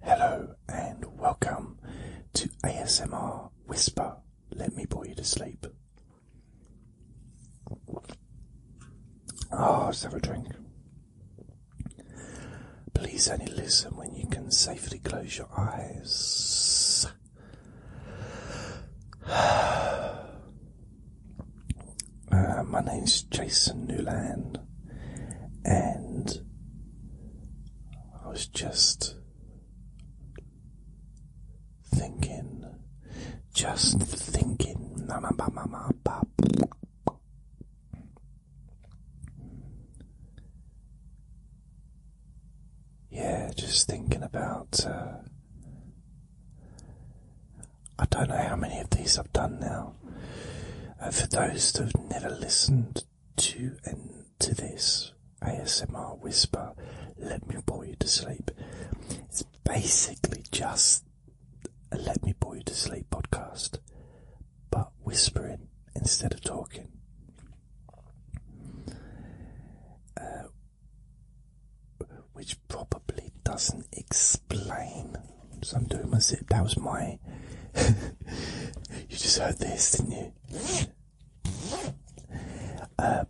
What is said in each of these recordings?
Hello and welcome to ASMR Whisper. Let me bore you to sleep. Ah, oh, let's have a drink. Please only listen when you can safely close your eyes. Uh, my name is Jason Newland, and I was just thinking, just thinking. Yeah, just thinking about. Uh, I don't know how many of these I've done now. Uh, for those who've never listened, to enter this ASMR whisper, let me bore you to sleep. It's basically just a let me bore you to sleep podcast, but whispering instead of talking. Uh, which probably doesn't explain so I'm doing my zip. That was my. you just heard this, didn't you? Uh,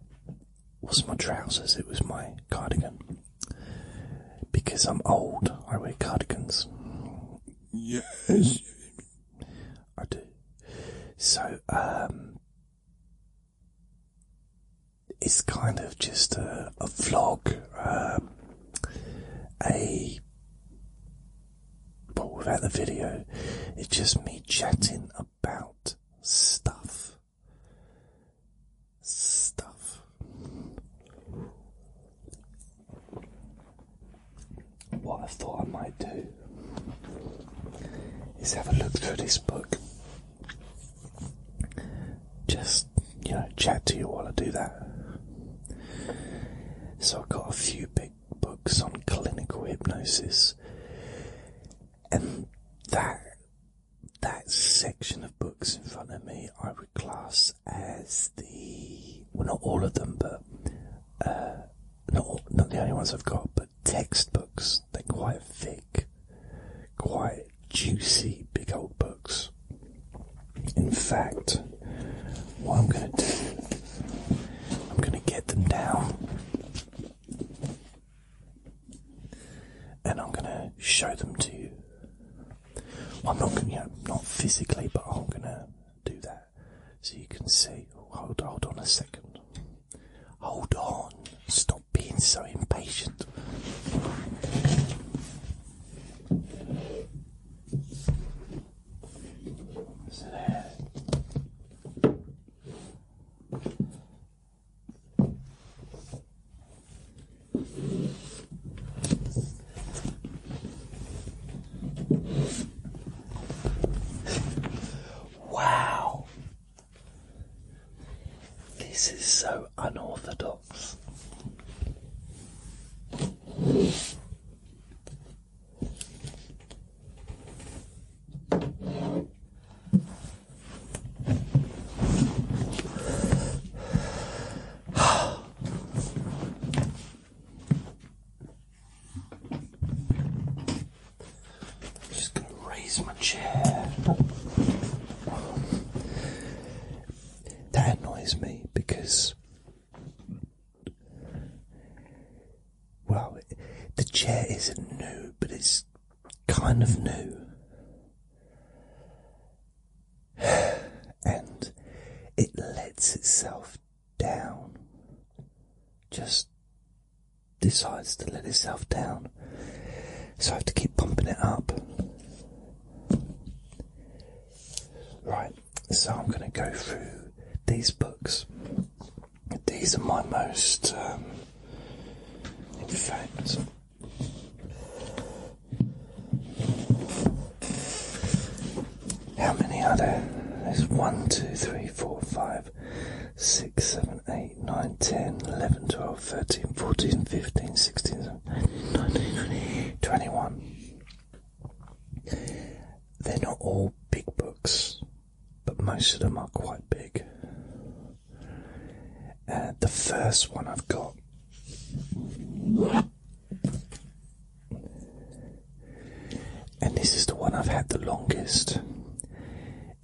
was my trousers? It was my cardigan. Because I'm old, I wear cardigans. Yes, I do. So, um, it's kind of just a, a vlog, um, a but without the video, it's just me chatting about stuff. Stuff. What I thought I might do is have a look through this book. Just, you know, chat to you while I do that. So I have got a few big books on clinical hypnosis, and that that section of books in front of me I would class as the well, not all of them, but uh, not not the only ones I've got, but textbooks. They're quite thick, quite juicy, big old books. In fact, what I'm going to do, I'm going to get them down and I'm going to show them to you. I'm not going to, you not physically, but I'm going to do that so you can see. Hold, hold on a second. Hold on. Stop being so impatient. Wow, this is so unorthodox. I'm just going to raise my chair. That annoys me because well, the chair isn't new, but it's kind of new. And it lets itself down. Just decides to let itself down. So I have to keep pumping it up. Right. So I'm going to go through these books. These are my most, um, in fact, how many are there? There's 1, 2, 3, 4, 5, 6, 7, 8, 9, 10, 11, 12, 13, 14, 15, 16, 17, 19, 20, 21. They're not all big books, but most of them are quite big. Uh, the first one I've got and this is the one I've had the longest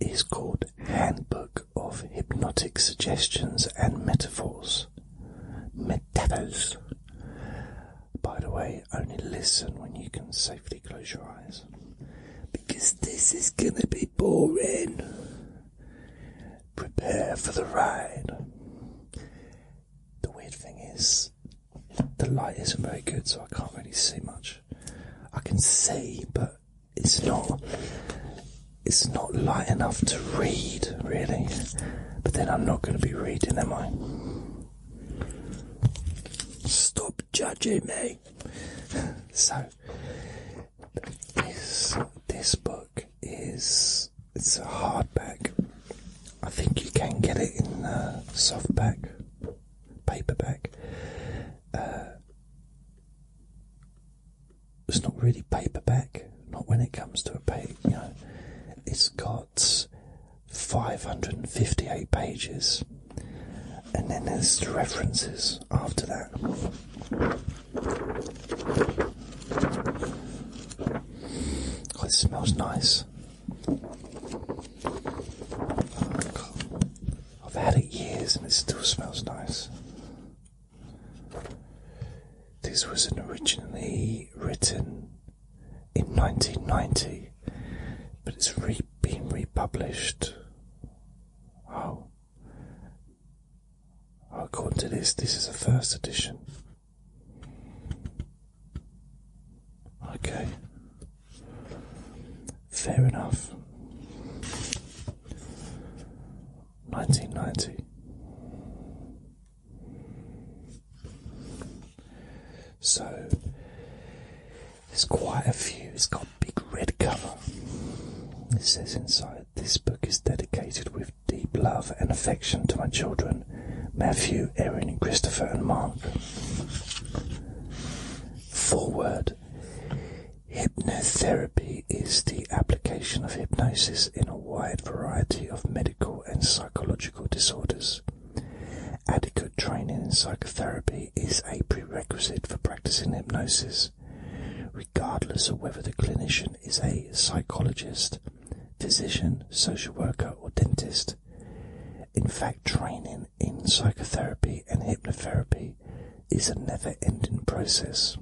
is called Handbook of Hypnotic Suggestions and Metaphors. Metaphors by the way, only listen when you can safely close your eyes. Because this is gonna be boring. Prepare for the ride. The weird thing is, the light isn't very good, so I can't really see much. I can see, but it's not. It's not light enough to read, really. But then I'm not going to be reading, am I? Stop judging me. So this this book is it's a hardback. I think you can get it in uh, softback, paperback. Uh, it's not really paperback not when it comes to a page. You know, it's got 558 pages, and then there's the references after that. Oh, it smells nice. I've had it years and it still smells nice. This was originally written in 1990, but it's been republished. Oh. oh, according to this, this is a first edition. Okay, fair enough. 1990. So there's quite a few. It's got a big red cover. It says inside, this book is dedicated with deep love and affection to my children, Matthew, Erin, Christopher, and Mark. Forward. Hypnotherapy is the application of hypnosis in a wide variety of medical and psychological psychological disorders. Adequate training in psychotherapy is a prerequisite for practicing hypnosis, regardless of whether the clinician is a psychologist, physician, social worker, or dentist. In fact, training in psychotherapy and hypnotherapy is a never ending process.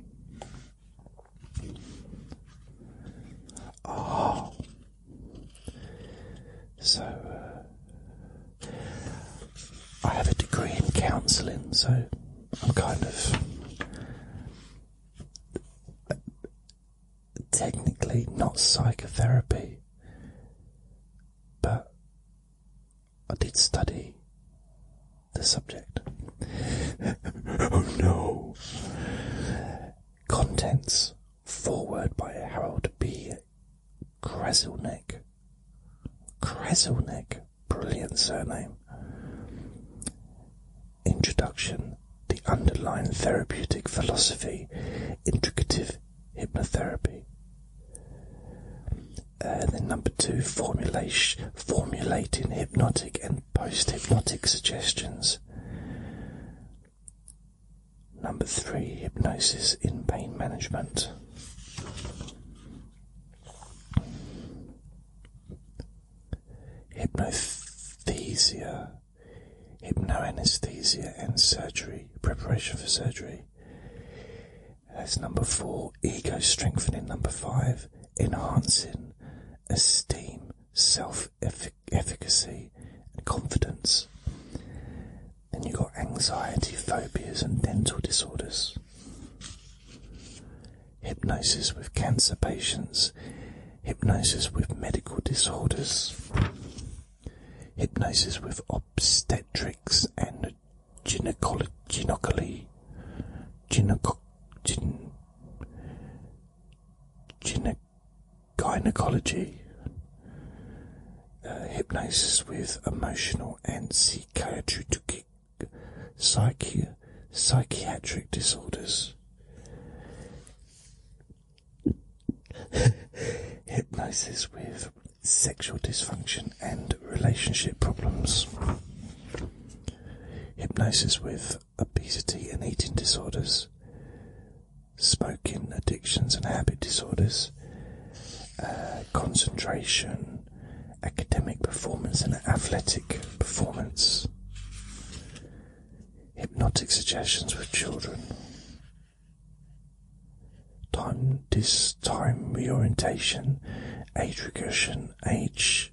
Oh. So, uh, I have a degree in counselling, so I'm kind of technically not psychotherapy, but I did study the subject. oh no! Contents Foreword by Harold B. Kreselnik. Kreselnik, brilliant surname. Introduction The Underlying Therapeutic Philosophy, Intricative Hypnotherapy. Uh, then number two, formulation, formulating hypnotic and and post-hypnotic suggestions. Number three, hypnosis in pain management. Hypnothesia, hypnoanesthesia, and surgery, preparation for surgery. That's number four, ego strengthening. Number five, enhancing esteem, self efficacy efficacy and confidence. Then you've got anxiety, phobias, and dental disorders. Hypnosis with cancer patients, hypnosis with medical disorders, hypnosis with obstetrics and gynecology. Gyneco, gynecology, uh, hypnosis with emotional and psychiatric disorders. hypnosis with sexual dysfunction and relationship problems. Hypnosis with obesity and eating disorders, smoking addictions and habit disorders, uh, concentration, academic performance and athletic performance, hypnotic suggestions with children, time dis time orientation, age regression, age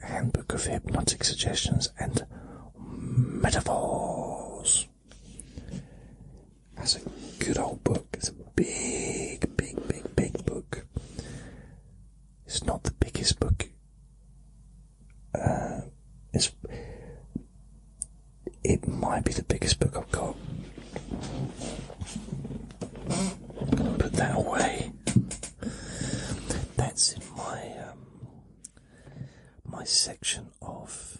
Handbook of Hypnotic Suggestions and Metaphors. That's a good old book. It's a big, big, big, big book. It's not the biggest book. Uh, it's it might be the biggest book I've got. Put that away. That's in my um, my section of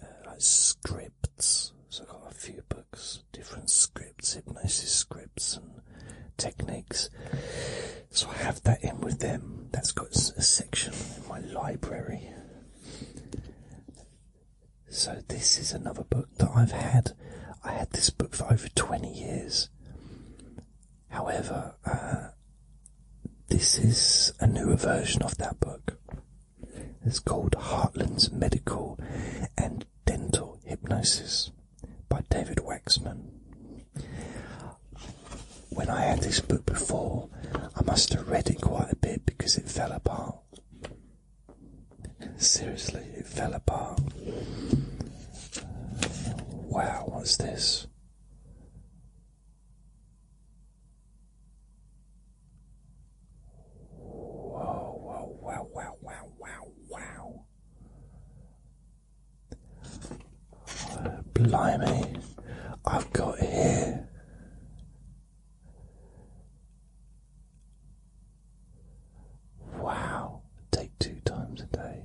uh, scripts. So I've got a few books, different scripts, hypnosis scripts and techniques. So I have that in with them. That's got a section in my library. So this is another book that I've had. I had this book for over 20 years. However, uh, this is a newer version of that book. It's called Heartland's Medical and Dental Hypnosis by David Waxman. When I had this book before, I must have read it quite a bit because it fell apart. Seriously, it fell apart. Wow, what's this? Whoa, wow, wow, wow, wow, wow. blimey, I've got here. Wow, take two times a day.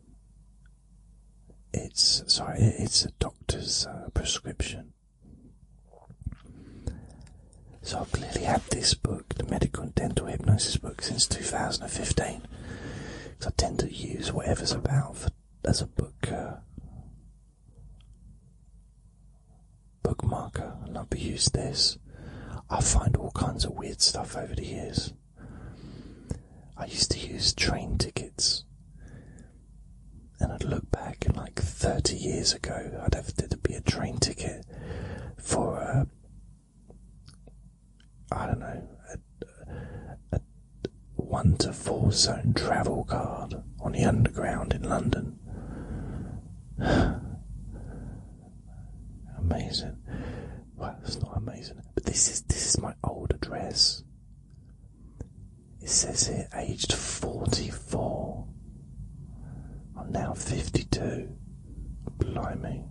It's sorry, it's a doctor's uh, prescription. So I've clearly had this book, the medical and dental hypnosis book, since 2015. Because I tend to use whatever's about as a book uh, bookmarker, I I've used this. I find all kinds of weird stuff over the years. I used to use train tickets. And I'd look back like 30 years ago, I'd have to be a train ticket for a, uh, I don't know, a one to four zone travel card on the underground in London. Amazing. Wow, that's not amazing. But this is this is my old address. It says here aged forty-four. I'm now fifty-two. Blimey.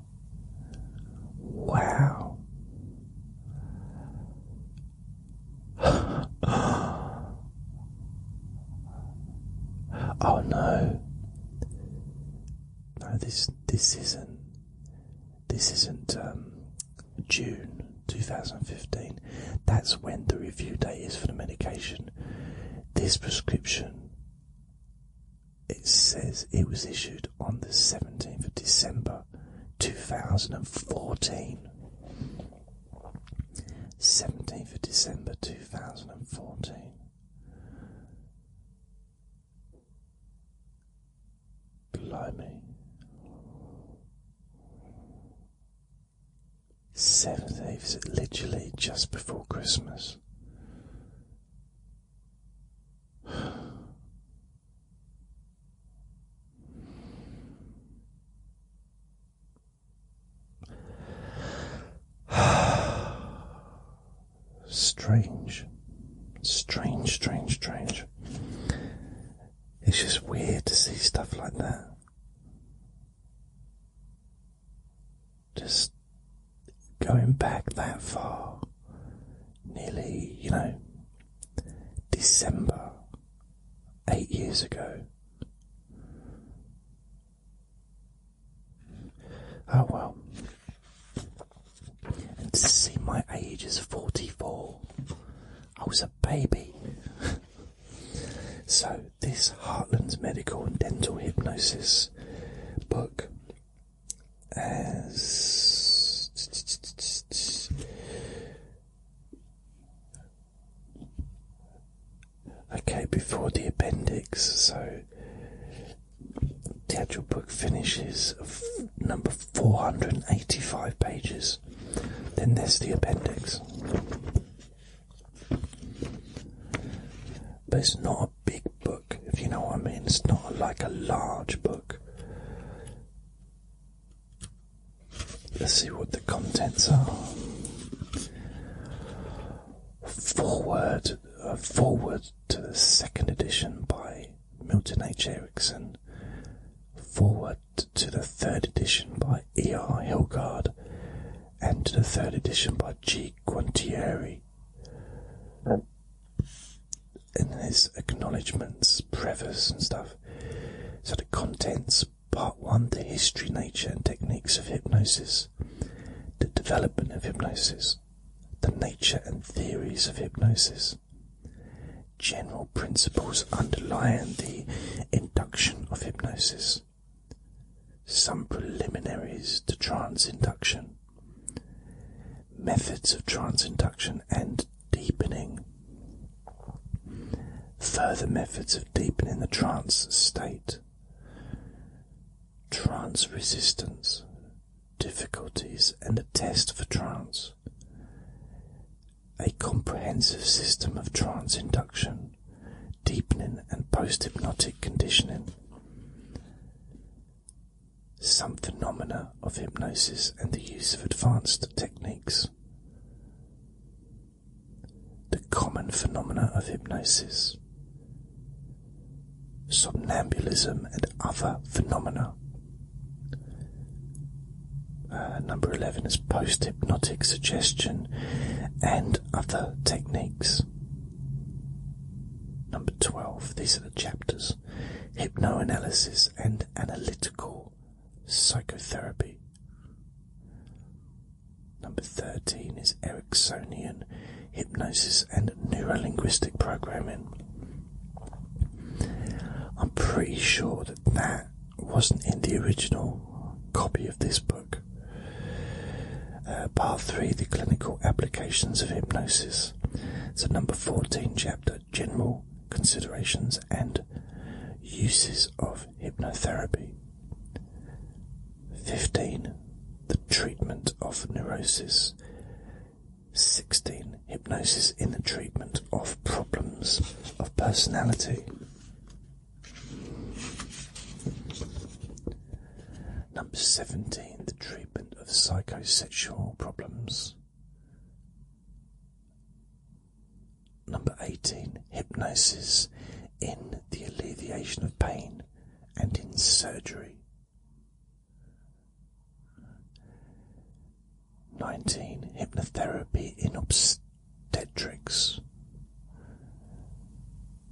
Wow. oh no. No, this this isn't. This isn't um, June 2015. That's when the review date is for the medication. This prescription, it says it was issued on the 17th of December 2014. 17th of December 2014. Blimey. Seventh is literally just before Christmas strange, strange, strange, strange. It's just weird to see stuff like that. Just going back that far, nearly, you know, December, eight years ago. Oh well, and to see my age as 44, I was a baby. so, this Heartlands Medical and Dental Hypnosis book as okay before the appendix so the actual book finishes number 485 pages. Then there's the appendix. But it's not a big book, if you know what I mean. It's not like a large book. Let's see what the contents are. Forward, uh, forward to the second edition by Milton H. Erickson, forward to the third edition by E. R. Hilgard, and to the third edition by G. Guantieri. In his acknowledgements, preface, and stuff. So the contents part one the history, nature, and techniques of hypnosis, the development of hypnosis, the nature and theories of hypnosis, general principles underlying the induction of hypnosis, some preliminaries to trance induction, methods of trance induction and deepening, further methods of deepening the trance state. Trance resistance, difficulties and a test for trance. A comprehensive system of trance induction, deepening, and post hypnotic conditioning. Some phenomena of hypnosis and the use of advanced techniques. The common phenomena of hypnosis, somnambulism, and other phenomena. Uh, number 11 is post hypnotic suggestion and other techniques. Number 12, these are the chapters hypnoanalysis and analytical psychotherapy. Number 13 is Ericksonian hypnosis, and Neuro Linguistic programming. I'm pretty sure that that wasn't in the original copy of this book. Uh, part 3 The Clinical Applications of Hypnosis. So, number 14, chapter General Considerations and Uses of Hypnotherapy. 15. The Treatment of Neurosis. 16. Hypnosis in the treatment of problems of personality. Number 17. The treatment of psychosexual problems. Number 18. Hypnosis in the alleviation of pain and in surgery. 19. Hypnotherapy in obstetrics.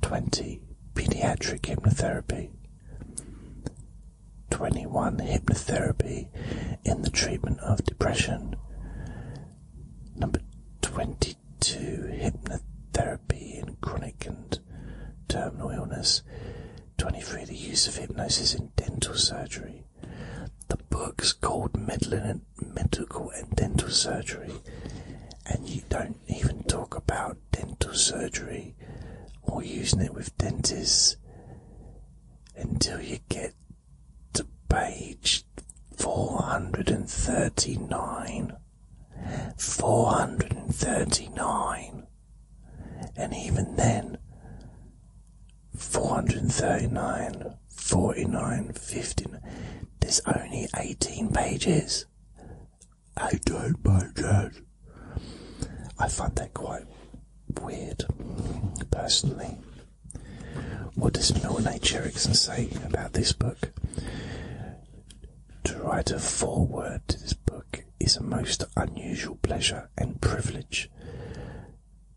20. Pediatric hypnotherapy. 21. Hypnotherapy in the treatment of depression. Number 22. Hypnotherapy in chronic and terminal illness. 23. The use of hypnosis in dental surgery. The book's called Medical and Dental Surgery, and you don't even talk about dental surgery or using it with dentists until you get to page 439. 439 and even then 439 49 15 there's only 18 pages i don't buy that. i find that quite weird personally what does milne h say about this book to write a foreword to this book is a most unusual pleasure and privilege.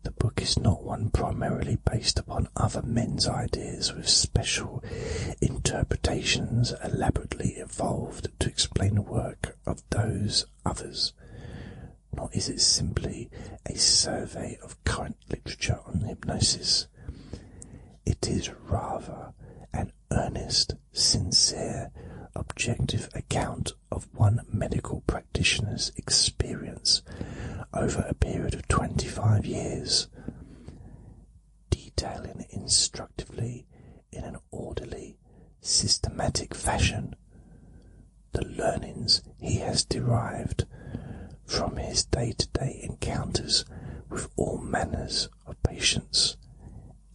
The book is not one primarily based upon other men's ideas with special interpretations elaborately evolved to explain the work of those others. Nor is it simply a survey of current literature on hypnosis. It is rather an earnest, sincere, objective account of one medical practitioner's experience over a period of 25 years, detailing instructively in an orderly, systematic fashion the learnings he has derived from his day to day encounters with all manners of patients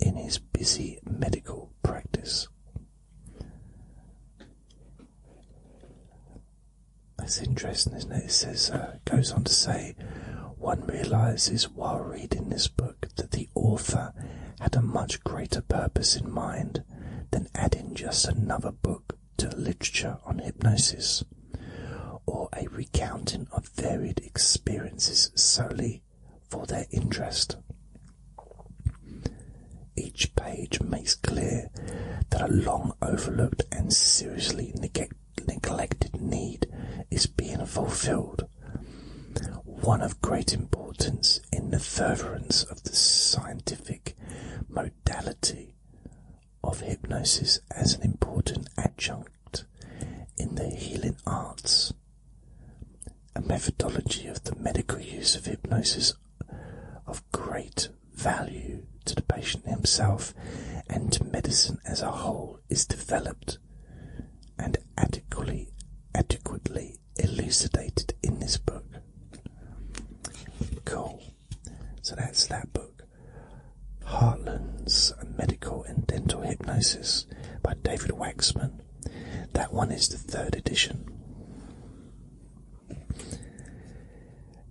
in his busy medical practice. That's interesting, isn't it? It says, uh, goes on to say, one realizes while reading this book that the author had a much greater purpose in mind than adding just another book to literature on hypnosis or a recounting of varied experiences solely for their interest. Each page makes clear that a long overlooked and seriously neglected need is being fulfilled, one of great importance in the furtherance of the scientific modality of hypnosis as an important adjunct in the healing arts. A methodology of the medical use of hypnosis of great value to the patient himself and to medicine as a whole is developed and adequately, adequately elucidated in this book. Cool. So that's that book. Hartland's Medical and Dental Hypnosis by David Waxman. That one is the third edition.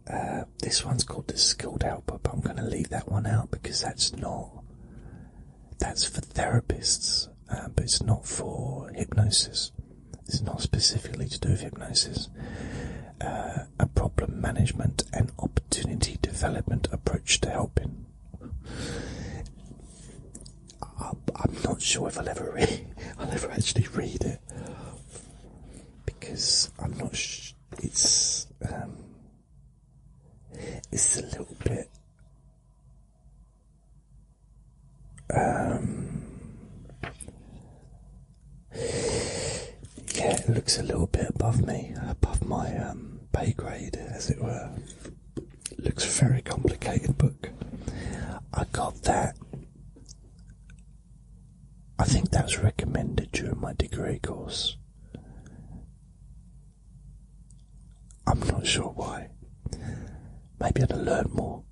Uh, this one's called the Skilled Helper, but I'm going to leave that one out because that's not. That's for therapists, uh, but it's not for hypnosis. It's not specifically to do with hypnosis. Uh, a problem management and opportunity development approach to helping. I, am not sure if I'll ever read. I'll ever actually read it because I'm not. it's um, it's a little bit. Um, yeah, it looks a little bit above me, above my um, pay grade, as it were looks very complicated book. I got that. I think that was recommended during my degree course. I'm not sure why. Maybe I'd learn more.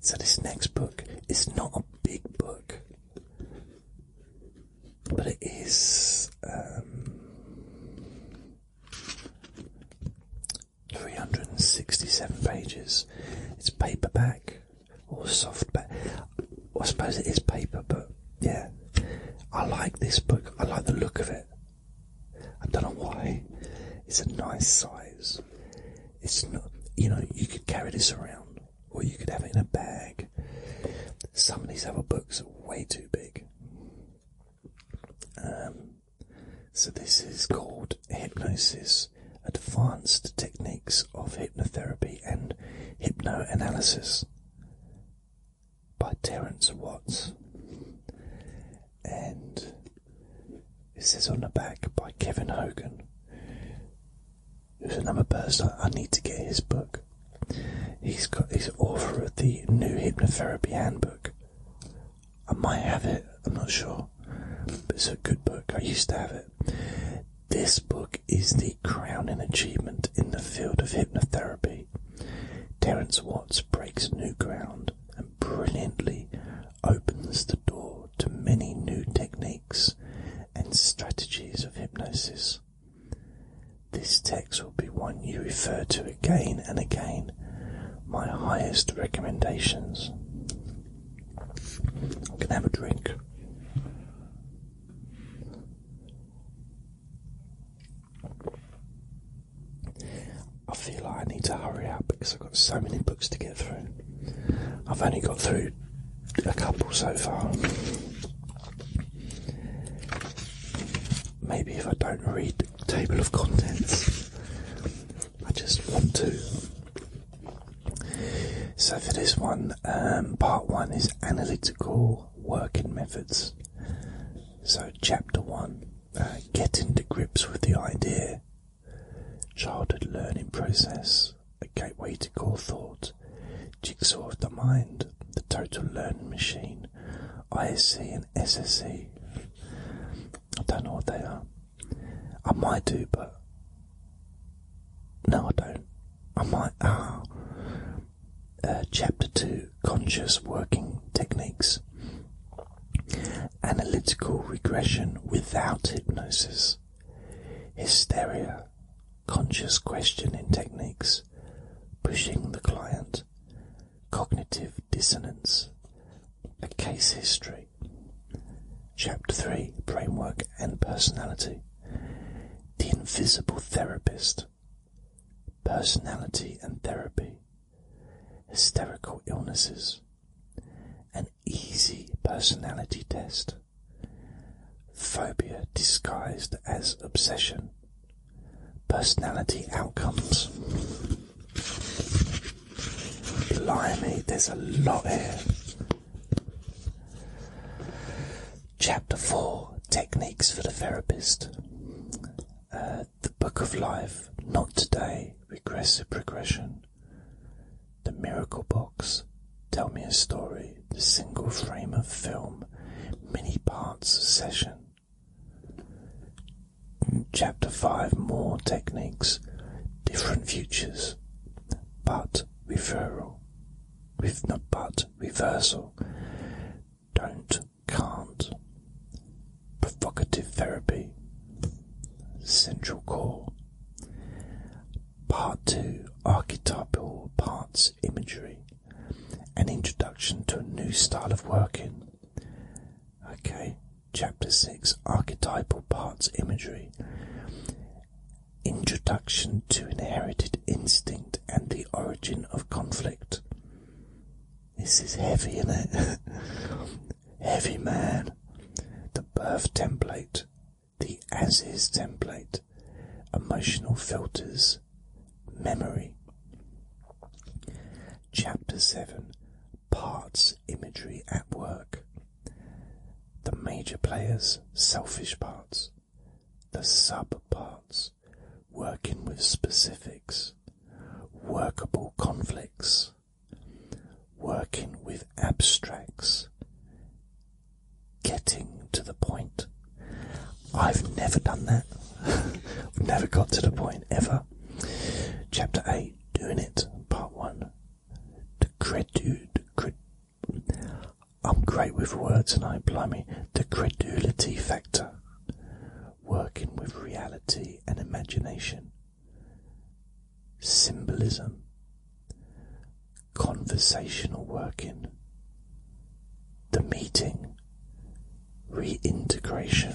So this next book is not a big book, but it is. Um, 367 pages. It's paperback or softback. I suppose it is paper, but yeah. I like this book. I like the look of it. I don't know why. It's a nice size. It's not, you know, you could carry this around or you could have it in a bag. Some of these other books are way too big. Um, so this is called hypnosis, advanced techniques of hypnotherapy and hypnoanalysis by Terence Watts. And it says on the back by Kevin Hogan, who's another person I need to get his book. He's got he's author of the New Hypnotherapy Handbook, I might have it, I'm not sure. But it's a good book, I used to have it. This book is the crowning achievement in the field of hypnotherapy. Terence Watts breaks new ground and brilliantly opens the door to many new techniques and strategies of hypnosis. This text will be one you refer to again and again. My highest recommendations. I can have a drink. I feel like I need to hurry up because I've got so many books to get through. I've only got through a couple so far. Maybe if I don't read table of contents. I just want to. So for this one, um, part one is analytical working methods. So chapter one, uh, Get into grips with the idea, childhood learning process, a gateway to core thought, jigsaw of the mind, the total learning machine, I see. SSC. I don't know what they are. I might do, but no, I don't. I might. Ah, uh, chapter two: conscious working techniques, analytical regression without hypnosis, hysteria, conscious questioning techniques, pushing the client, Cognitive Dissonance A Case History. Chapter 3 Brainwork and Personality The Invisible Therapist. Personality and Therapy. Hysterical Illnesses. An Easy Personality Test. Phobia disguised as obsession personality outcomes. Blimey, there's a lot here. Chapter 4 Techniques for the Therapist. Uh, the Book of Life, Not Today, Regressive Progression. The Miracle Box, Tell Me a Story, The Single Frame of Film, Mini Parts Session. Chapter 5 More Techniques, Different Futures, But Reversal, with not but reversal, Don't, Can't, Provocative Therapy, Central Core, Part 2 Archetypal Parts Imagery, an introduction to a new style of working. Okay, Chapter 6 Archetypal Parts Imagery Introduction to Inherited Instinct and the Origin of Conflict. This is heavy, is heavy man. The birth template, the as is template, emotional filters, memory. Chapter 7 Parts Imagery at Work The major players, selfish parts, the sub parts, working with specifics, workable conflicts, working with abstracts, getting to the point. I've never done that. I've never got to the point ever. Chapter 8 Doing It, Part 1 The Credu. I'm great with words and I blimey. The Credulity Factor. Working with reality and imagination. Symbolism. Conversational working. The meeting. Reintegration.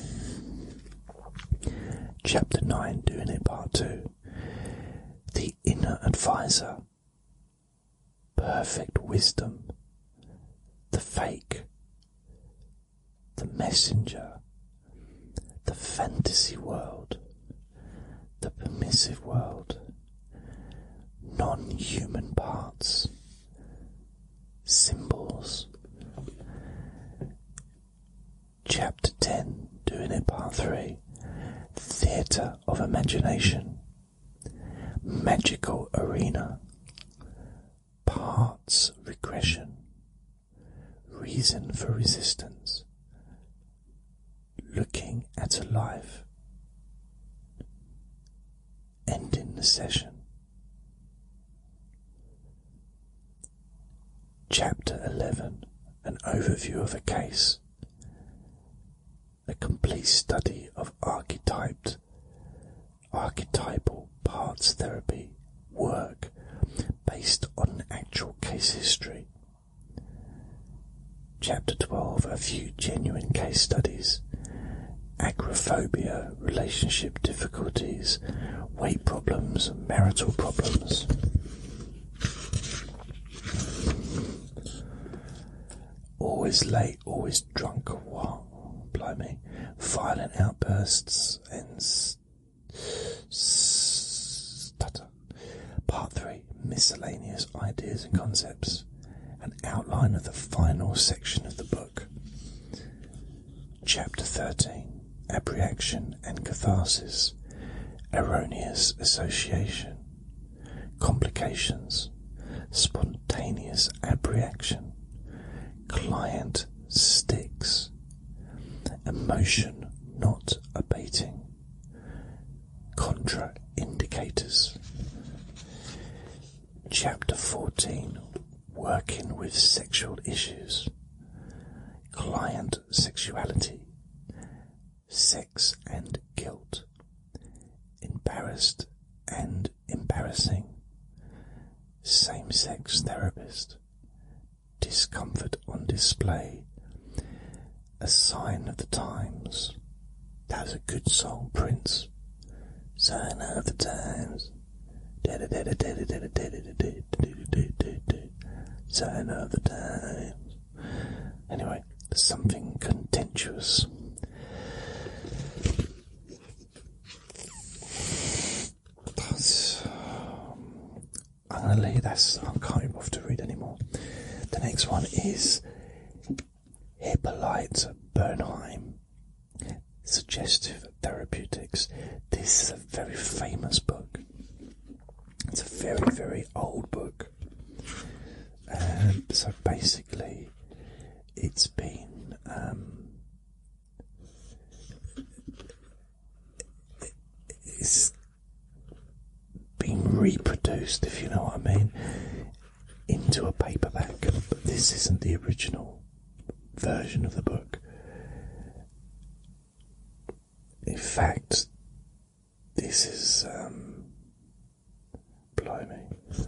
Chapter 9, doing it part 2. The inner advisor. Perfect wisdom. The fake. The messenger. The fantasy world. The permissive world. Non human parts symbols. Chapter 10, doing it part 3 Theatre of Imagination, Magical Arena, Parts Regression, Reason for Resistance, Looking at a Life ending the session. Chapter 11 An Overview of a Case A complete study of archetyped, archetypal parts therapy work based on actual case history. Chapter 12 A Few Genuine Case Studies disease, relationship difficulties, weight problems, marital problems. Always late, always drunk, what? Blimey. Violent outbursts and stutter. Part 3 Miscellaneous Ideas and Concepts. An outline of the final section of the book. Chapter 13 Apprehension and Catharsis, Erroneous Association, Complications, Spontaneous Apprehension, Client Sticks, Emotion Not Abating, Contraindicators. Chapter 14 Working with Sexual Issues Client Sexuality Sex and Guilt Embarrassed and Embarrassing Same Sex Therapist Discomfort on Display A Sign of the Times That was a good song, Prince. Sign of the Times. Sign of the times. Anyway, something contentious. I'm gonna leave this. I can't even bother to read anymore. The next one is Hippolyte Bernheim Suggestive Therapeutics. This is a very famous book. It's a very, very old book. and um, so basically, it's been. Um, it's been reproduced, if you know what I mean, into a paperback. But this isn't the original version of the book. In fact, this is um, blimey. Uh,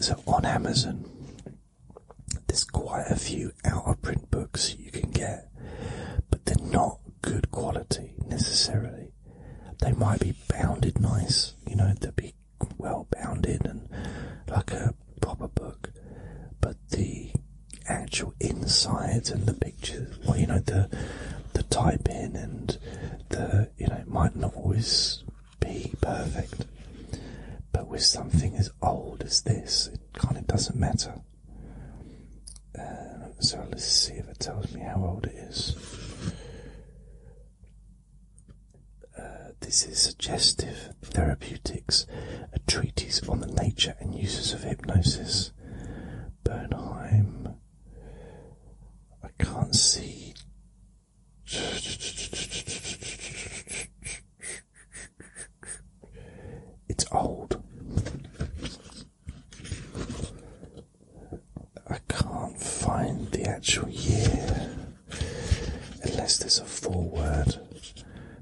so on Amazon, there's quite a few out of print books you can get, but they're not good quality necessarily they might be bounded nice, you know, they'd be well bounded and like a proper book, but the actual inside and the pictures, well, you know, the the typing and the you know, might not always be perfect. But with something as old as this, it kind of doesn't matter. Uh, so let's see if it tells me how old it is. Uh, this is Suggestive Therapeutics, a treatise on the nature and uses of hypnosis. Bernheim. I can't see. It's old. I can't find the actual year unless there's a foreword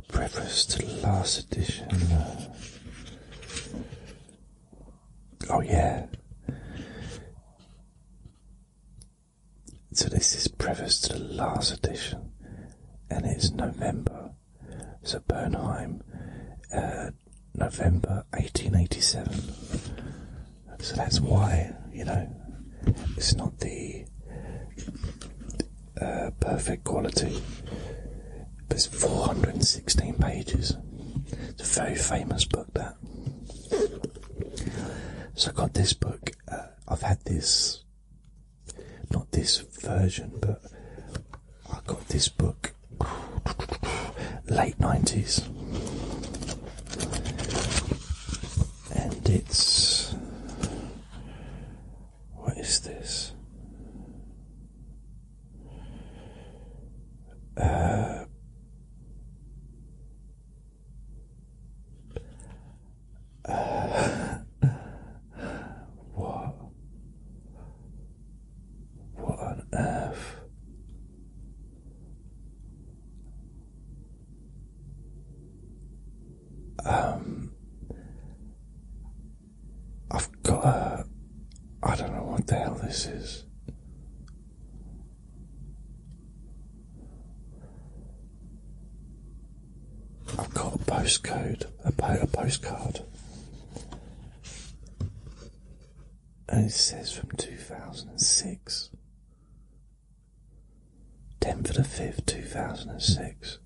preface to the last edition. Uh, oh, yeah. So, this is preface to the last edition, and it's November so Bernheim, uh, November 1887. So that's why, you know, it's not the uh, perfect quality. it's 416 pages. It's a very famous book, that. So I got this book. Uh, I've had this, not this version, but I got this book late 90s. And it's. What is this? Uh, uh what? What on earth? Um, I've got a. I don't know what the hell this is. I've got a postcode, a, po a postcard and it says from 2006. 10th of the 5th, 2006.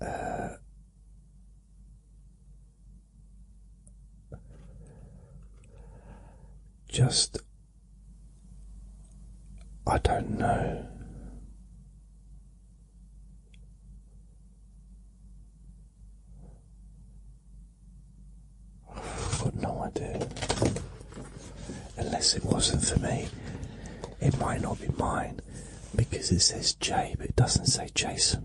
Uh, just, I don't know got no idea. Unless it wasn't for me, it might not be mine because it says J, but it doesn't say Jason.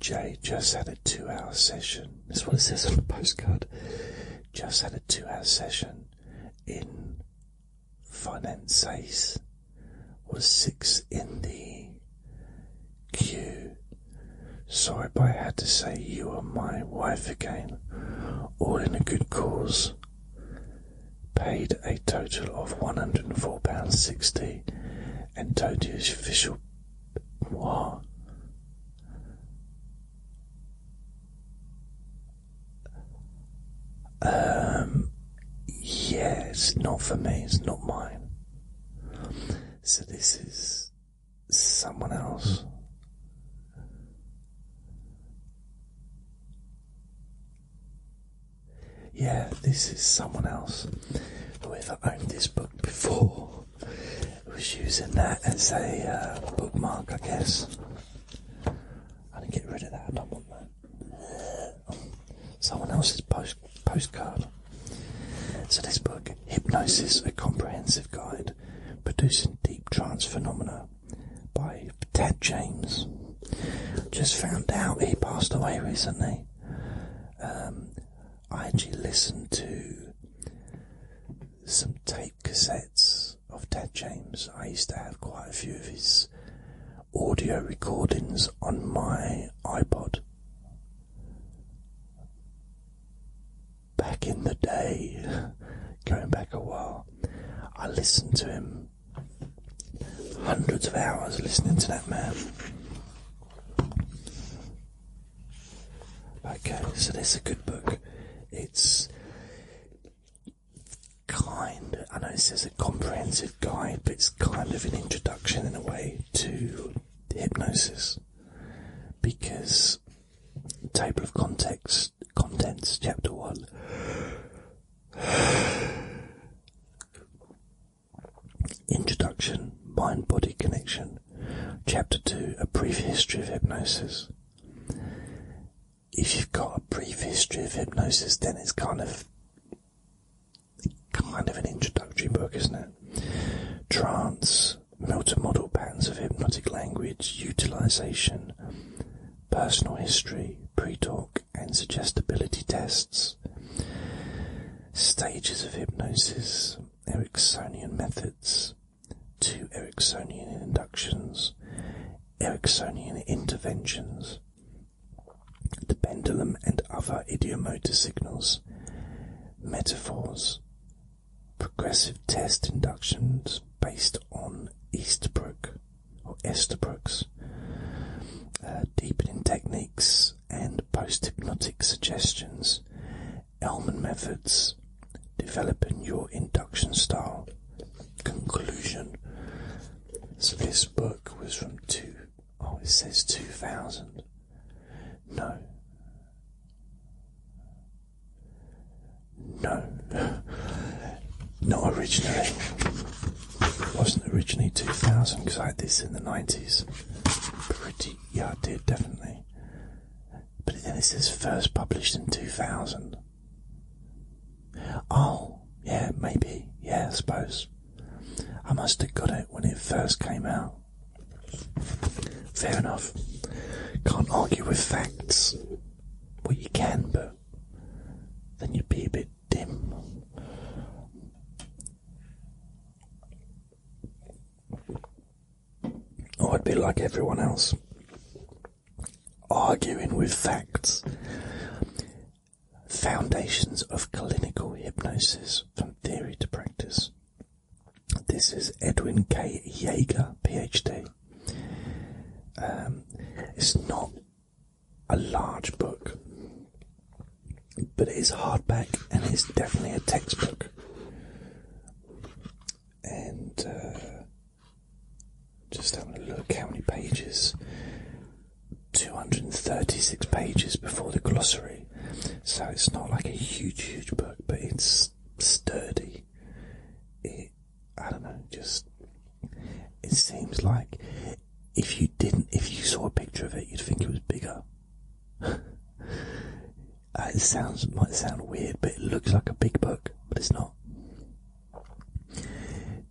Jay just had a two hour session. That's what it says on the postcard just had a two hour session in Finances, was six in the queue. Sorry, but I had to say you were my wife again, all in a good cause. Paid a total of £104.60 and Toadie's official. What? Um, yeah, it's not for me, it's not mine. So this is someone else. Yeah, this is someone else. who ever owned this book before was using that as a uh, bookmark, I guess. I did to get rid of that. I don't want that. Someone else's post postcard. So this book, Hypnosis: A Comprehensive Guide, producing deep trance phenomena, by Ted James. Just found out he passed away recently. Um, I actually listened to some tape cassettes of Ted James. I used to have quite a few of his audio recordings on my iPod. Back in the day, going back a while, I listened to him hundreds of hours listening to that man. Okay, so this is a good book. It's kind, I know it says a comprehensive guide, but it's kind of an introduction in a way to hypnosis. Because table of context contents chapter one Introduction Mind Body Connection Chapter 2 A Brief History of Hypnosis. If you've got a brief history of hypnosis, then it's kind of kind of an introductory book, isn't it? Trance, multi-model bands of hypnotic language, utilization, personal history, pre-talk and suggestibility tests, stages of hypnosis, Ericksonian methods, two Ericksonian inductions, Ericksonian interventions, the pendulum and other idiomotor signals, metaphors, progressive test inductions based on Easterbrook or Esterbrook's, uh, deepening techniques and post-hypnotic suggestions, Elman methods, developing your induction style. Conclusion. So this book was from two oh it says two thousand. No. No. Not originally. It wasn't originally 2000 because I had this in the 90s. Pretty, yeah, I did, definitely but it says first published in 2000. Oh, yeah, maybe. Yeah, I suppose. I must have got it when it first came out. Fair enough. Can't argue with facts. What you can, but then you'd be a bit dim. Oh, I'd be like everyone else, arguing with facts. Foundations of clinical hypnosis from theory to practice. This is Edwin K. Yeager, PhD. Um, it's not a large book, but it is hardback and it's definitely a textbook and uh, just having a look how many pages 236 pages before the glossary so it's not like a huge huge book but it's sturdy it i don't know just it seems like if you didn't if you saw a picture of it you'd think it was bigger Uh, it sounds might sound weird, but it looks like a big book, but it's not.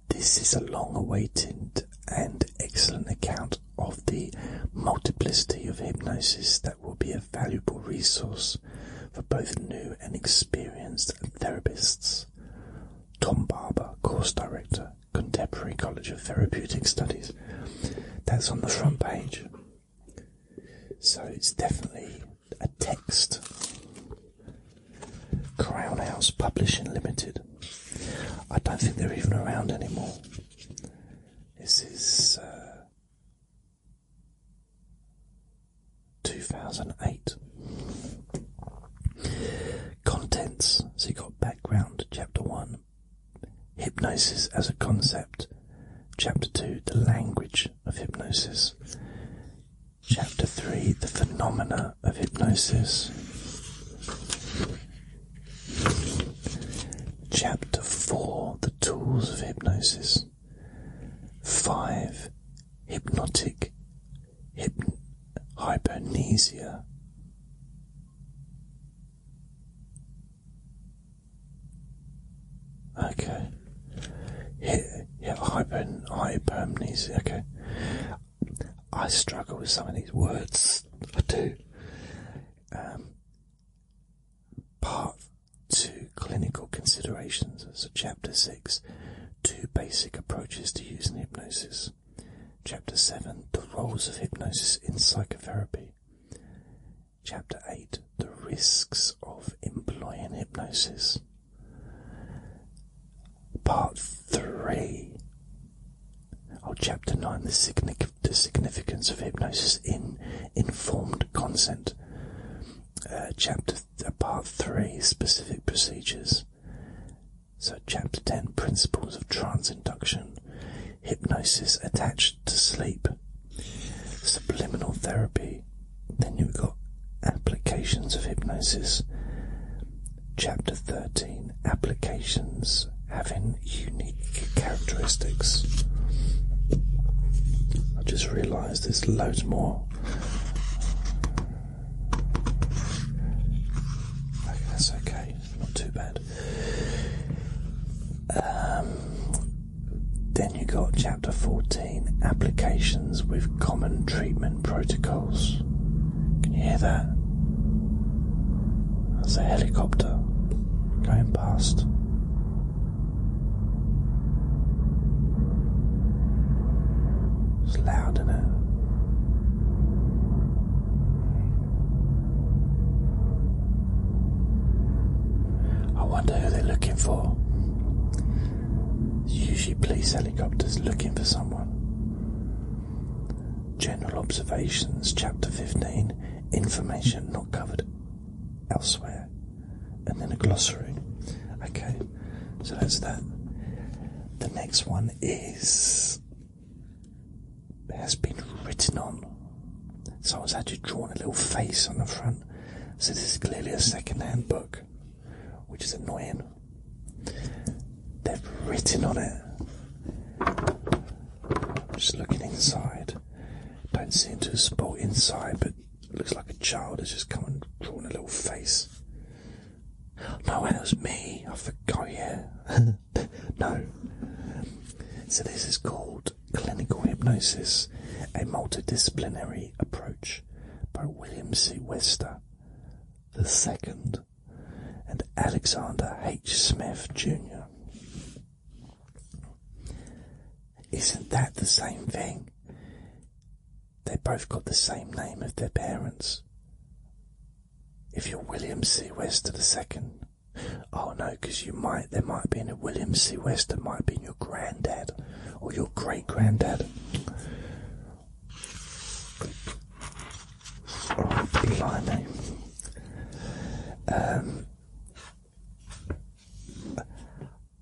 This is a long awaited and excellent account of the multiplicity of hypnosis that will be a valuable resource for both new and experienced therapists. Tom Barber, course director, Contemporary College of Therapeutic Studies. That's on the front page. So it's definitely a text. Crown House Publishing Limited. I don't think they're even around anymore. This is uh, 2008. Contents. So you've got background, chapter 1. Hypnosis as a concept. Chapter 2 The Language of Hypnosis. Chapter 3 The Phenomena of Hypnosis. Chapter 4 The Tools of Hypnosis. 5 Hypnotic hyp- Okay. Here, yeah, hypern, Okay. I struggle with some of these words. I do. Um, part two clinical considerations. So, chapter six two basic approaches to using hypnosis. Chapter seven the roles of hypnosis in psychotherapy. Chapter 8 The Risks of Employing Hypnosis. Part 3 Oh, Chapter 9 the, Significance of Hypnosis in Informed Consent. Uh, chapter uh, Part 3 Specific Procedures. So, Chapter 10 Principles of Trance Induction. Hypnosis attached to sleep. Subliminal therapy. Then you've got applications of hypnosis. Chapter 13 Applications having unique characteristics. I just realised there's loads more. that's okay, not too bad. Um, then you got chapter 14 applications with common treatment protocols. Can you hear that? That's a helicopter going past. It's loud, is it? I wonder who they're looking for. usually police helicopters looking for someone. General observations, chapter 15, information not covered elsewhere. And then a glossary. Okay, so that's that. The next one is. Has been written on Someone's actually drawn a little face on the front. So this is clearly a second-hand book, which is annoying. They've written on it. Just looking inside. Don't see seem to spot inside, but looks like a child has just come and drawn a little face. No, it was me. I forgot, yeah. no. So this is called Clinical Hypnosis A Multidisciplinary Approach by William C. Wester II and Alexander H. Smith Jr. Isn't that the same thing? They both got the same name of their parents. If you're William C. Wester II, Oh no, because you might, there might be been a William C. West. Wester, might be been your granddad or your great granddad. Oh, blimey. Um,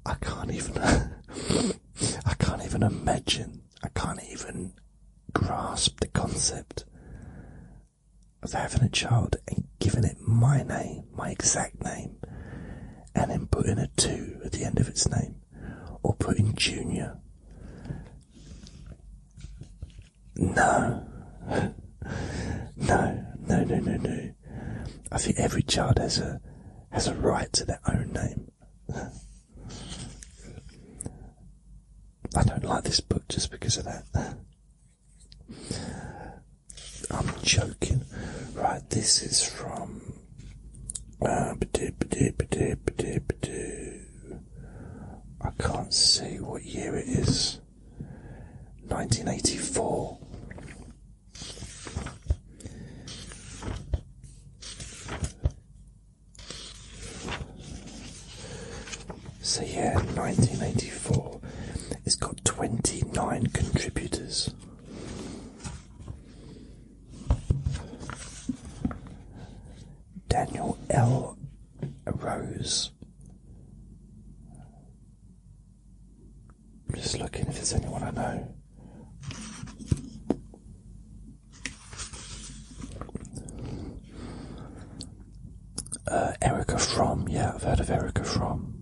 I can't even, I can't even imagine, I can't even grasp the concept of having a child giving it my name, my exact name, and then putting a 2 at the end of its name, or putting Junior. No. no, no, no, no, no. I think every child has a has a right to their own name. I don't like this book just because of that. I'm joking. Right, this is from. Uh, I can't see what year it is. 1984. So yeah, 1984. It's got 29 contributors. Daniel L. Rose. I'm just looking if there's anyone I know. Uh, Erica Fromm, yeah, I've heard of Erica Fromm.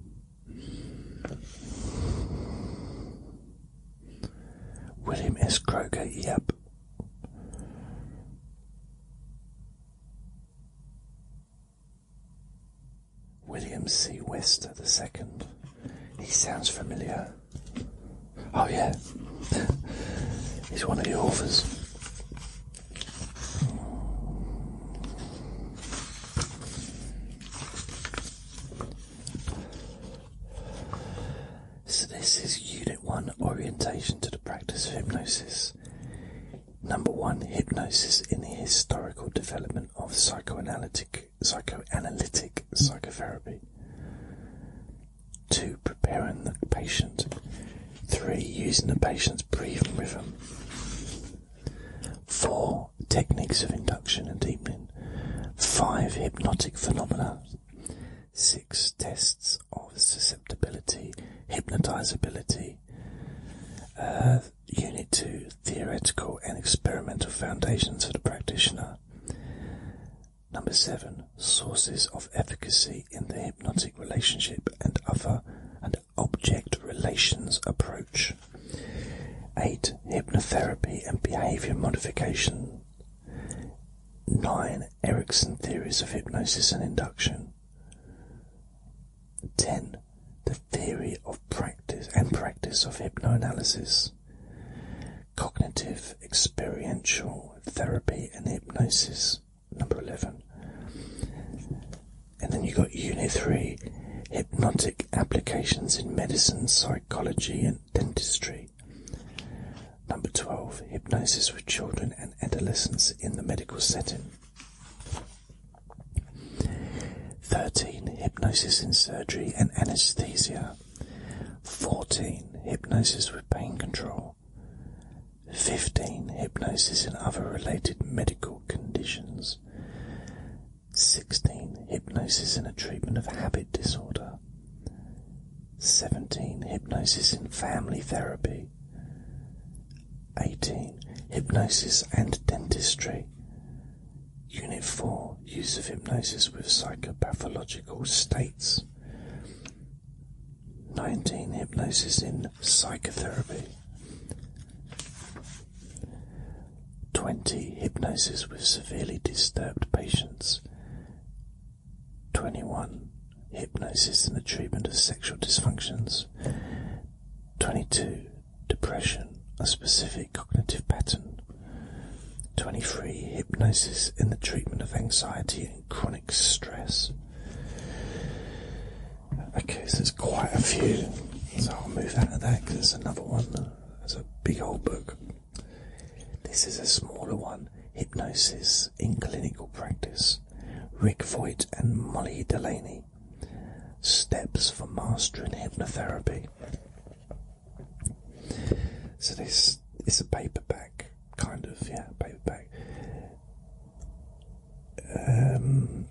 William S. Croker. yep. William C. Wester the second. He sounds familiar. Oh yeah. He's one of the authors. So, this is Unit 1 Orientation to the Practice of Hypnosis. Number 1 Hypnosis in the Historical Development of Psychoanalytic, Psychotherapy. 2. Preparing the patient. 3. Using the patient's breathing rhythm. 4 techniques of induction and deepening, five hypnotic phenomena, six tests of susceptibility, hypnotizability. Uh, unit two, theoretical and experimental foundations for the practitioner. Number seven, sources of efficacy in the hypnotic relationship and other and object relations approach. 8. Hypnotherapy and behavior modification. 9. Erickson theories of hypnosis and induction. 10. The theory of practice and practice of hypnoanalysis. Cognitive experiential therapy and hypnosis. Number 11. And then you got Unit 3 Hypnotic Applications in Medicine, Psychology, and Dentistry. Number 12 Hypnosis with Children and Adolescents in the Medical Setting. 13 Hypnosis in Surgery and Anesthesia. 14 Hypnosis with Pain Control. 15 Hypnosis and Other Related Medical Conditions. 16. Hypnosis in a treatment of habit disorder. 17. Hypnosis in family therapy. 18. Hypnosis and dentistry. Unit 4. Use of hypnosis with psychopathological states. 19. Hypnosis in psychotherapy. 20. Hypnosis with severely disturbed patients. 21. Hypnosis in the treatment of sexual dysfunctions. 22. Depression, a specific cognitive pattern. 23. Hypnosis in the treatment of anxiety and chronic stress. Okay, so there's quite a few. So I'll move out of that because it's another one. It's a big old book. This is a smaller one. Hypnosis in clinical practice. Rick Voigt and Molly Delaney. Steps for mastering hypnotherapy. So this is a paperback, kind of, yeah, paperback. Um,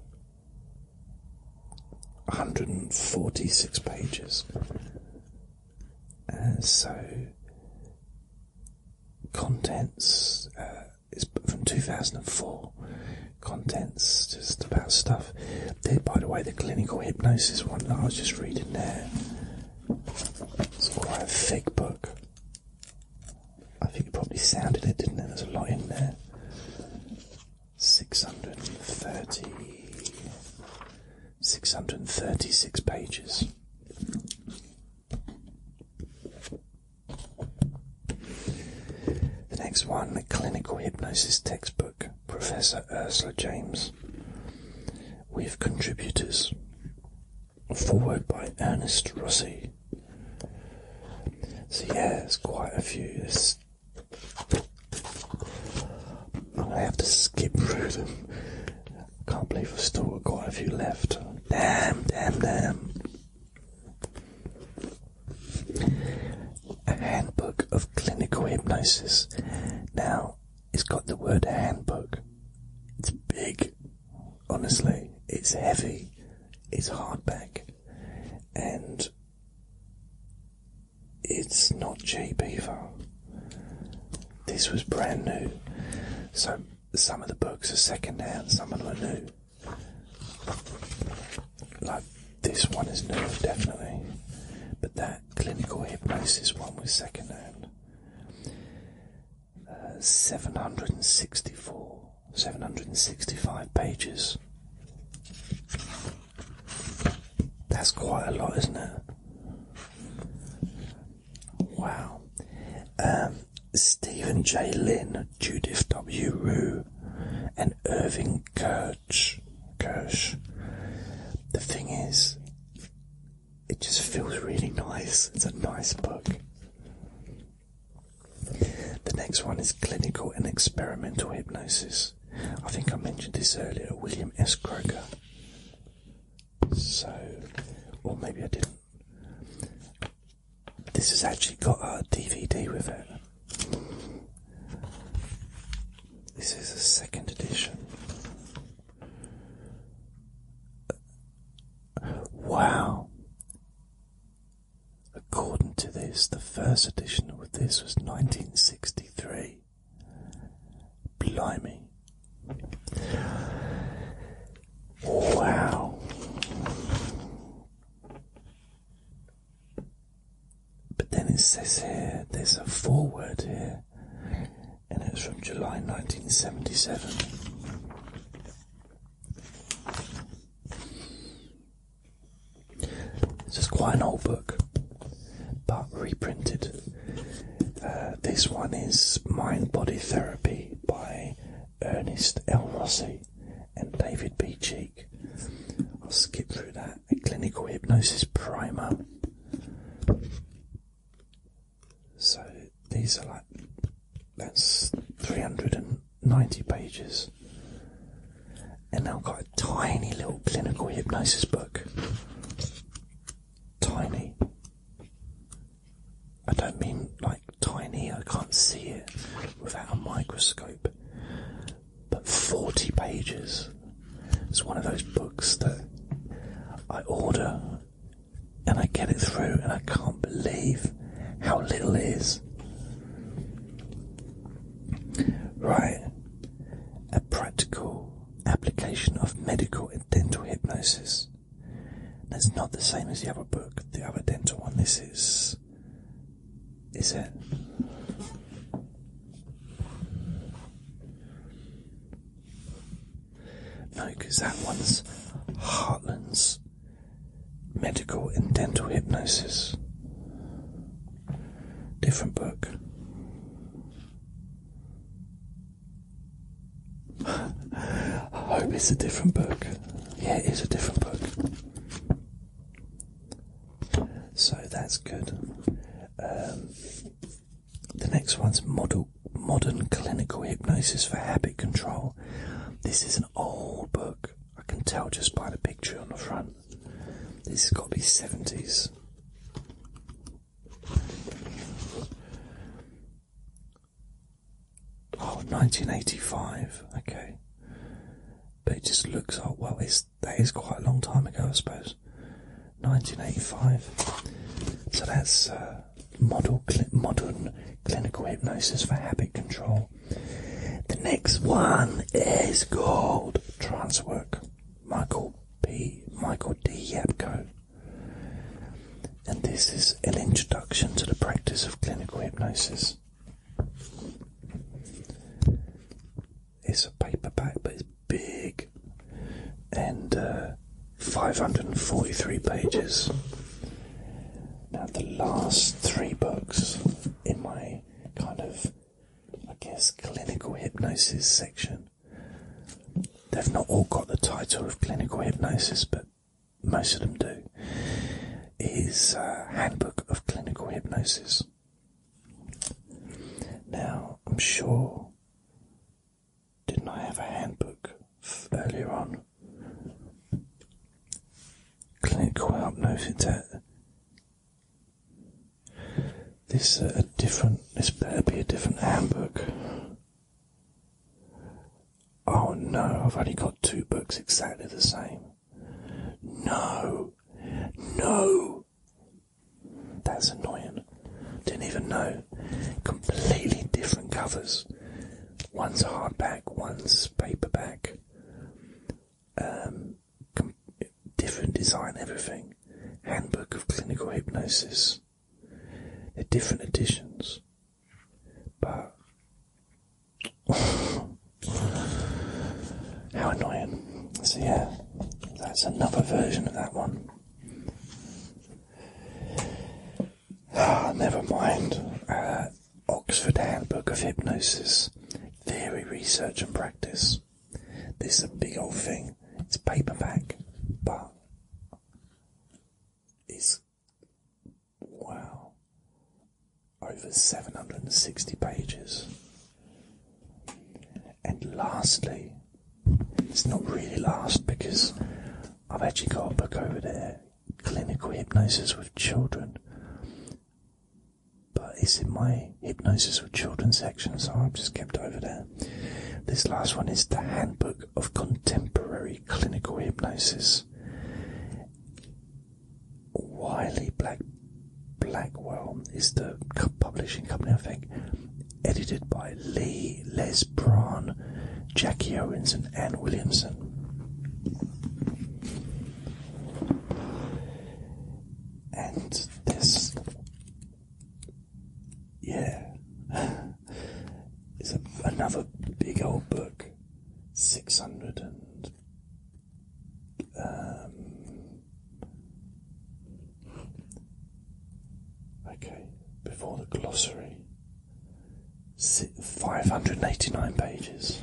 146 pages. and uh, so, contents uh, is from 2004. Contents, just about stuff. There, by the way, the clinical hypnosis one that I was just reading there. It's quite a thick book. I think it probably sounded it, didn't it? There's a lot in there six hundred and thirty six hundred and thirty six pages. The next one, the clinical hypnosis textbook, Professor Ursula James, with contributors. Forward by Ernest Rossi. So yeah, there's quite a few. I'm gonna have to skip through them. I can't believe I've still got quite a few left. Damn, damn, damn. A handbook of clinical hypnosis. Now, it's got the word handbook. It's big. Honestly, it's heavy. It's hardback. And it's not cheap either. This was brand new. So some of the books are second hand, some of them are new. Like this one is new, definitely. But that clinical hypnosis one was second hand. Uh, 764 765 pages. That's quite a lot, isn't it? Wow. Um, Stephen J. Lynn, Judith W. Rue, and Irving Kirsch. Kirsch. The thing is, it just feels really nice. It's a nice book. The next one is clinical and experimental hypnosis. I think I mentioned this earlier, William S. Croker. So, or maybe I didn't. This has actually got a DVD with it. This is a second edition. Wow. According to this, the first edition of this was 1963. Blimey. Wow. But then it says here, there's a foreword here, and it's from July 1977. This is quite an old book, but reprinted. Uh, this one is Mind Body Therapy by Ernest L. Rossi and David B. Cheek. I'll skip through that. A clinical hypnosis primer. So these are like that's 300 and 90 pages. And I've got a tiny little clinical hypnosis book. Tiny. I don't mean like tiny, I can't see it without a microscope. But 40 pages. It's one of those books that I order and I get it through, and I can't believe how little it is. Right. A practical application of medical and dental hypnosis. That's not the same as the other book, the other dental one. This is. Is it? No, because that one's Heartlands medical and dental hypnosis. Different book. I hope it's a different book. Yeah, it is a different book. So that's good. Um, the next one's Modern Clinical Hypnosis for Habit Control. This is an old book. I can tell just by the picture on the front. This has got to be 70s. Oh, 1985. Okay. But it just looks like, well, it's, that is quite a long time ago, I suppose. 1985. So that's uh, model, modern clinical hypnosis for habit control. The next one is called Transwork. Michael B. Michael D. Yapko. And this is an introduction to the practice of clinical hypnosis. It's a paperback, but it's big and uh, 543 pages. Now, the last three books in my kind of, I guess, clinical hypnosis section. They've not all got the title of clinical hypnosis, but most of them do. Is uh, Handbook of Clinical Hypnosis. Now, I'm sure, didn't I have a handbook earlier on? Click will upload it. This uh, a different. This better be a different handbook. Oh no! I've only got two books exactly the same. No, no. That's annoying. Didn't even know. Completely different covers. One's hardback, one's paperback. Um, different design, everything. Handbook of Clinical Hypnosis. They're different editions, but how annoying! So yeah, that's another version of that one. Ah, never mind. Uh, Oxford Handbook of Hypnosis Theory, Research and Practice. This is a big old thing. It's paperback, but it's wow, over 760 pages. And lastly, it's not really last because I've actually got a book over there Clinical Hypnosis with Children but it's in my hypnosis for children section, so I've just kept it over there. This last one is the Handbook of Contemporary Clinical Hypnosis. Wiley Black Blackwell is the publishing company, I think. Edited by Lee, Les Braun, Jackie Owens, and Anne Williamson. And this, yeah, is another big old book, six hundred um, okay before the glossary. 589 pages.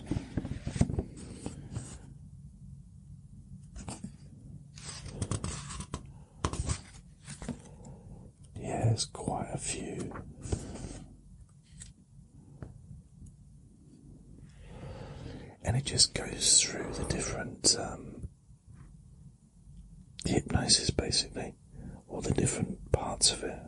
Yeah, there's quite a few. And it just goes through the different um, hypnosis basically, all the different parts of it.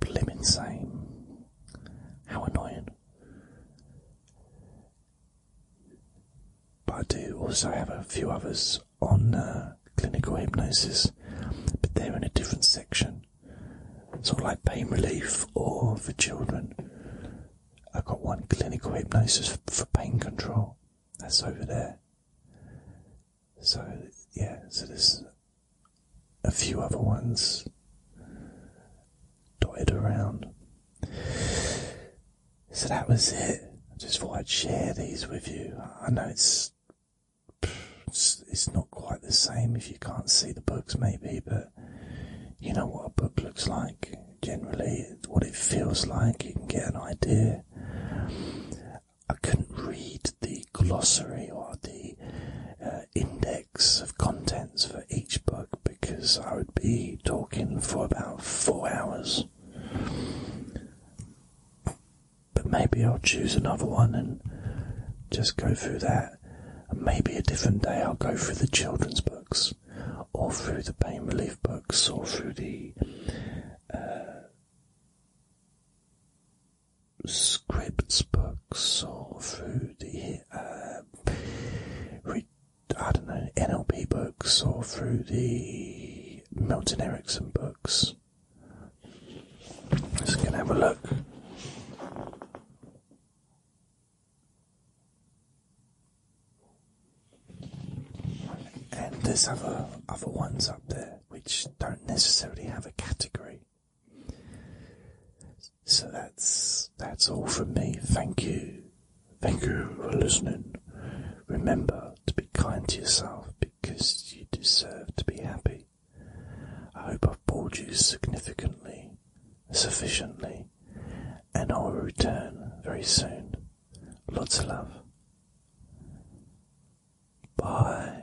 blimmin' same. How annoying. But I do also have a few others on uh, clinical hypnosis, but they're in a different section. Sort of like pain relief or for children. I've got one clinical hypnosis for pain control. That's over there. So, yeah, so this a few other ones dotted around. So that was it. I just thought I'd share these with you. I know it's it's, not quite the same if you can't see the books, maybe, but you know what a book looks like generally, what it feels like, you can get an idea. I couldn't read the glossary or the uh, index of contents for each book because I would be talking for about four hours. But maybe I'll choose another one and just go through that. And maybe a different day I'll go through the children's books, or through the pain relief books, or through the uh, scripts books or through the um, I don't know NLP books or through the Milton Erickson books. Just gonna have a look. And there's other other ones up there which don't necessarily have a category. So that's that's all from me. Thank you. Thank you for listening. Remember to be kind to yourself because you deserve to be happy. I hope I've bored you significantly, sufficiently, and I will return very soon. Lots of love. Bye.